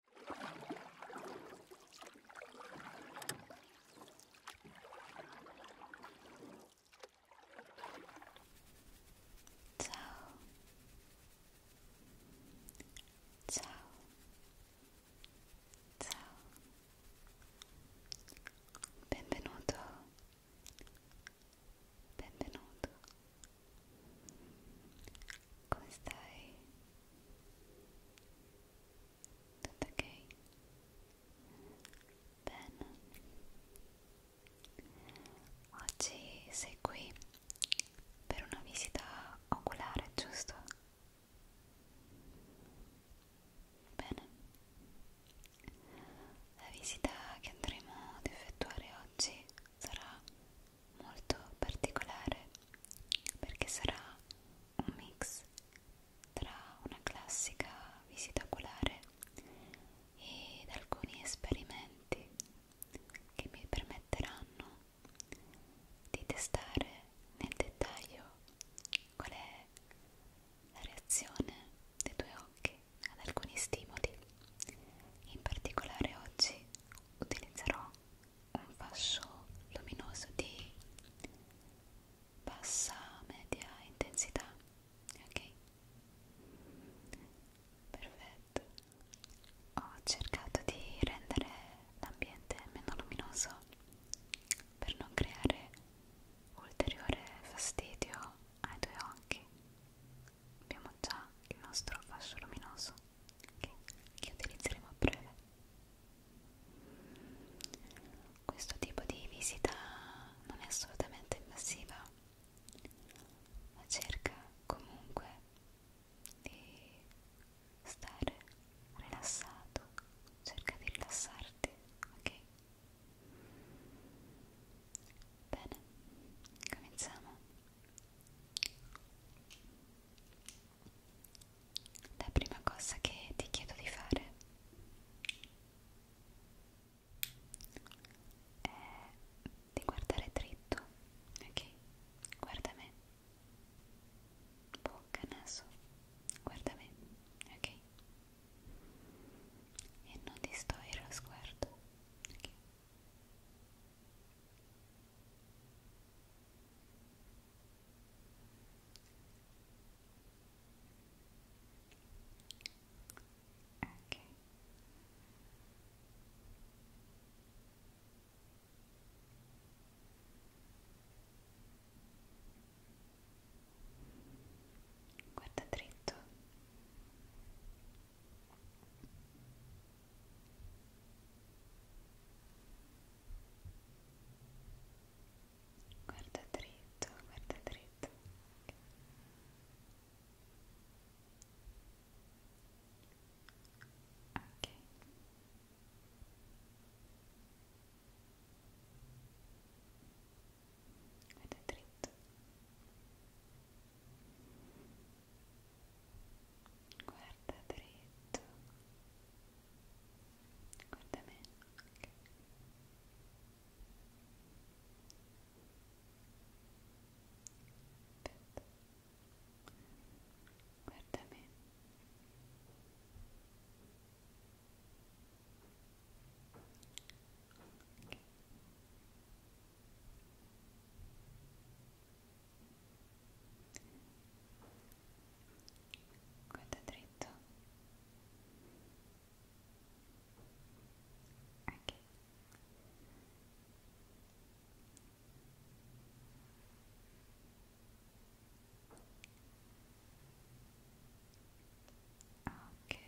Ciao. Ciao. Ciao. Benvenuto. Benvenuto. Come stai? Tutto ok? Bene. Oggi sei qui per una visita oculare, giusto? Bene. La visita che andremo ad effettuare oggi sarà molto particolare perché sarà un mix tra una classica visita oculare ed alcuni esperimenti che mi permetteranno di testare nel dettaglio qual è la reazione dei tuoi occhi ad alcuni stimoli in particolare oggi utilizzerò un fascio luminoso di bassa media intensità ok perfetto ho cercato di rendere l'ambiente meno luminoso per non creare ulteriore fastidio ai tuoi occhi abbiamo già il nostro fascio luminoso okay, che utilizzeremo a breve questo tipo di visita non è assolutamente invasiva ma cerca comunque di stare rilassato cerca di rilassarti ok bene cominciamo la prima cosa che ti chiedo di fare è di guardare dritto, ok? Guarda me, bocca, naso, guarda me, ok? E non distogliere lo sguardo, ok? ok guarda dritto Guarda dritto, guarda dritto. Ok. Guarda dritto guarda dritto guarda me okay. Aspetta. guarda me Okay guarda dritto ok ok ok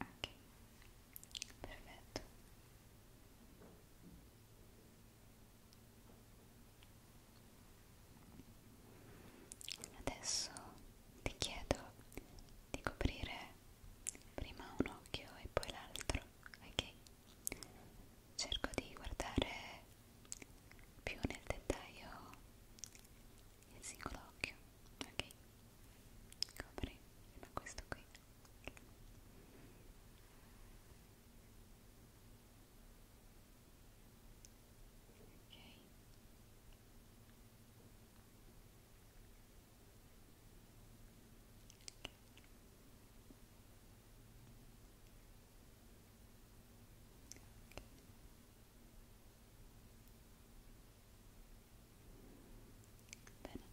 ok perfetto adesso ti chiedo di coprire prima un occhio e poi l'altro ok cerco di guardare più nel dettaglio il singolo occhio ok copri ma questo qui ok Okay. Bene. Bene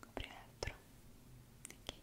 copri l'altro okay. Okay.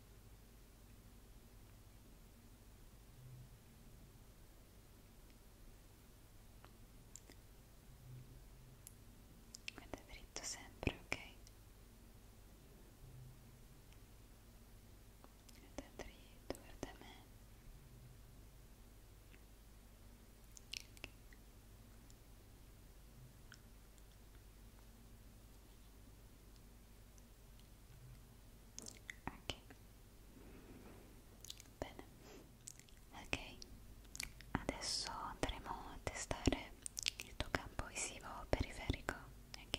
Ed è dritto sempre, ok? Ed è dritto, guarda me. Okay ok bene ok adesso andremo a testare il tuo campo visivo periferico ok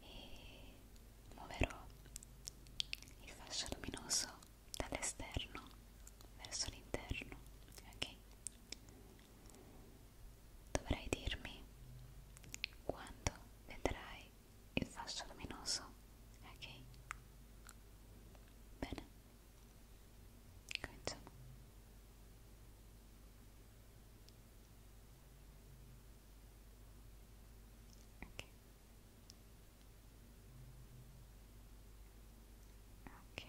e muoverò il fascio luminoso dall'esterno verso l'interno ok Dovrai dirmi quando vedrai il fascio luminoso, ok? Bene, cominciamo. Ok. Ok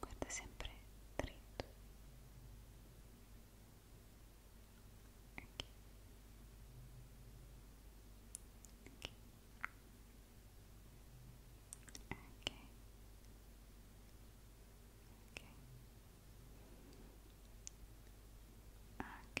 guarda sempre dritto okay. Okay. Okay. Ok, ok,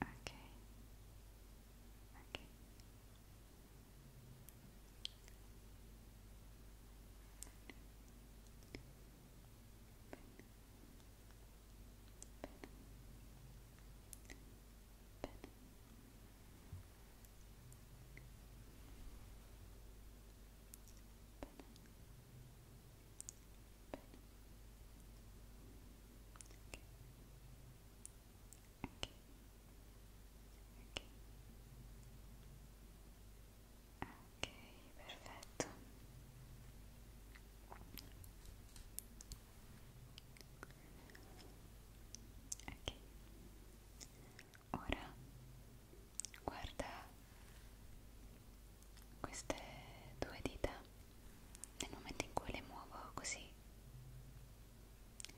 Okay. Okay. Pen. Pen. Pen. ok, perfetto ok ora guarda queste due dita nel momento in cui le muovo così ok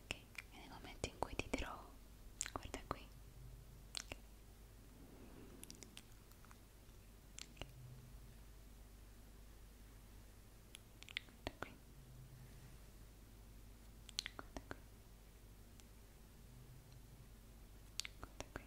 e nel momento in cui ti dirò guarda qui okay. guarda qui guarda qui guarda qui Okay.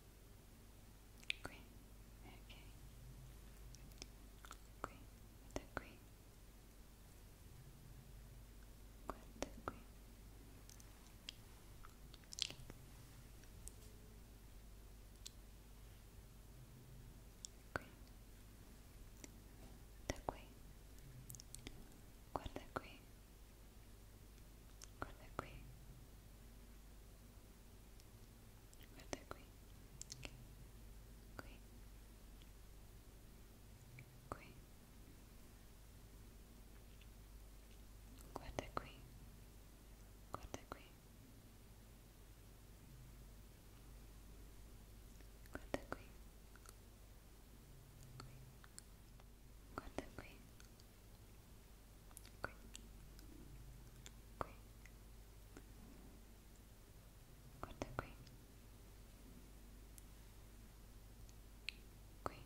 Green. Okay. Green. The green. With the green. Green. The green. Guarda qui, guarda qui guarda qui qui qui guarda qui guarda qui guarda qui qui guarda qui qui, qui, guarda qui, qui, qui, guarda qui, qui, qui. Qui.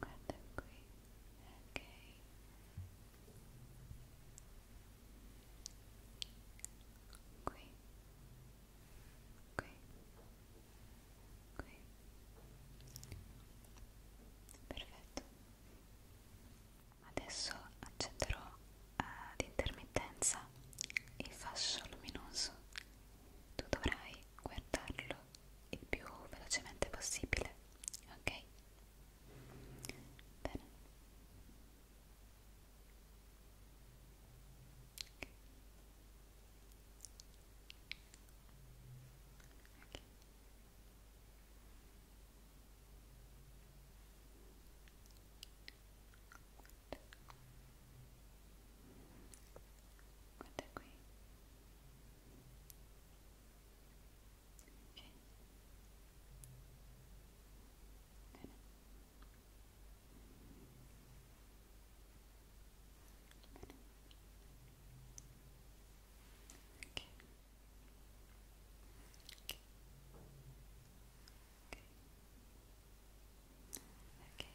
guarda qui ok qui qui qui perfetto adesso accenderò ad eh, intermittenza il fascio luminoso tu dovrai guardarlo il più velocemente possibile, ok? Bene. Okay. Guarda qui Okay. Good. Okay. Okay. Okay.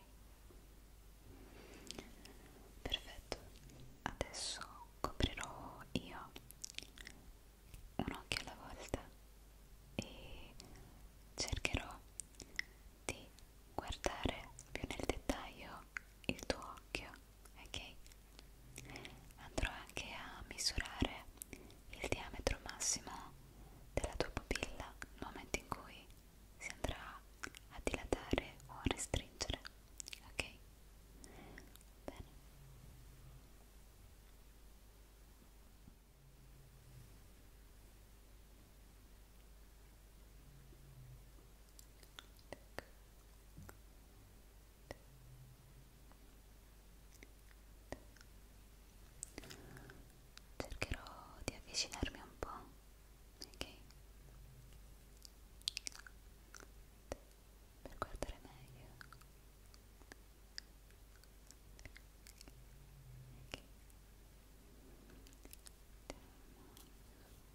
perfetto adesso coprirò io un occhio alla volta e cercherò di guardare più nel dettaglio il tuo occhio ok andrò anche a misurare il diametro massimo della tua pupilla nel momento in cui si andrà a dilatare o a restringere ok bene cercherò di avvicinarmi un po' ok? Per guardare meglio ok? ok ok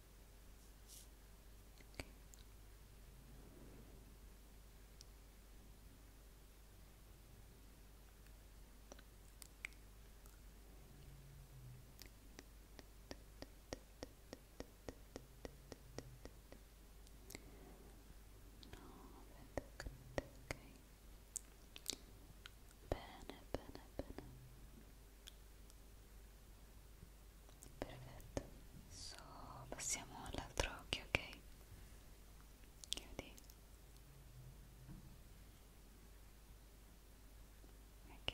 bene bene bene perfetto so, passiamo all'altro occhio ok chiudi ok ok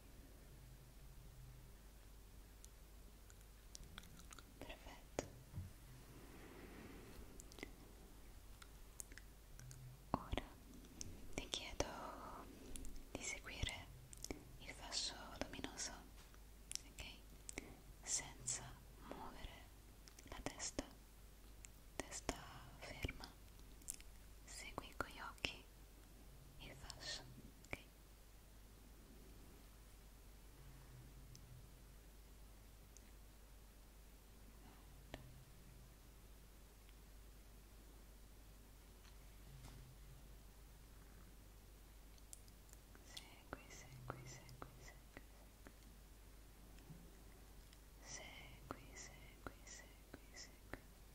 Perfetto. Ora ti chiedo di seguire il fascio luminoso, ok? Senza muovere la testa, testa ferma. Segui con gli occhi il fascio, ok? Segui, segui, segui, segui, segui. Segui, segui, segui, segui.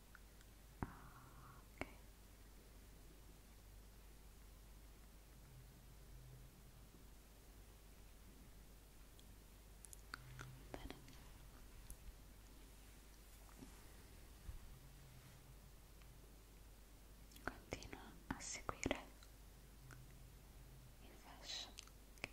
ok bene continua a seguire il fascio okay.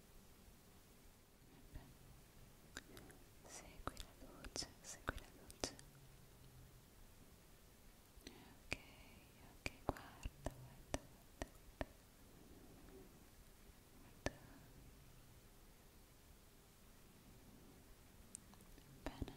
Segui la luce, segui la luce. Ok, ok, guarda, guarda, guarda. guarda. Bene. Guarda, guarda, guarda.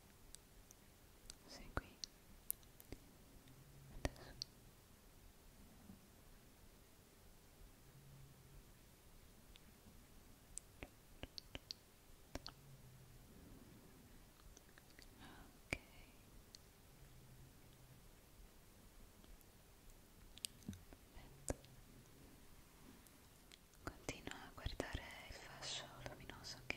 sei qui adesso ok Perfetto. Continua a guardare il fascio luminoso, ok?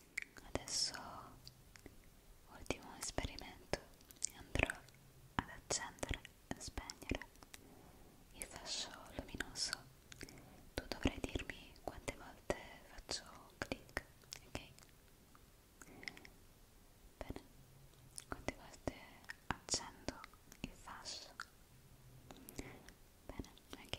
Adesso, ultimo esperimento, andrò ad accendere e spegnere il fascio luminoso. Tu dovrai dirmi quante volte faccio clic, ok? Bene, quante volte accendo il fascio? Bene, ok.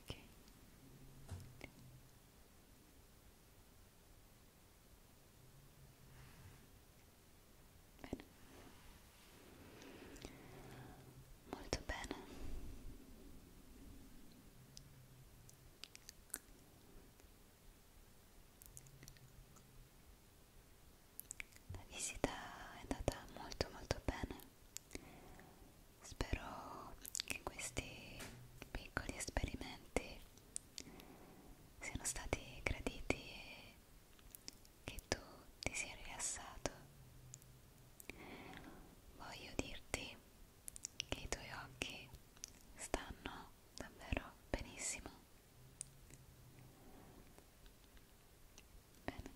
Okay. Bene. Molto bene. La visita è andata molto molto bene. Spero che questi piccoli esperimenti siano stati graditi e che tu ti sia rilassato. Voglio dirti che i tuoi occhi stanno davvero benissimo Bene.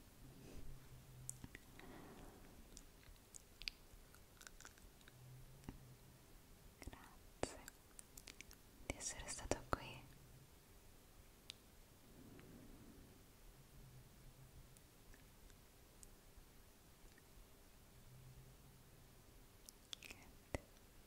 Grazie di essere stato qui. Niente.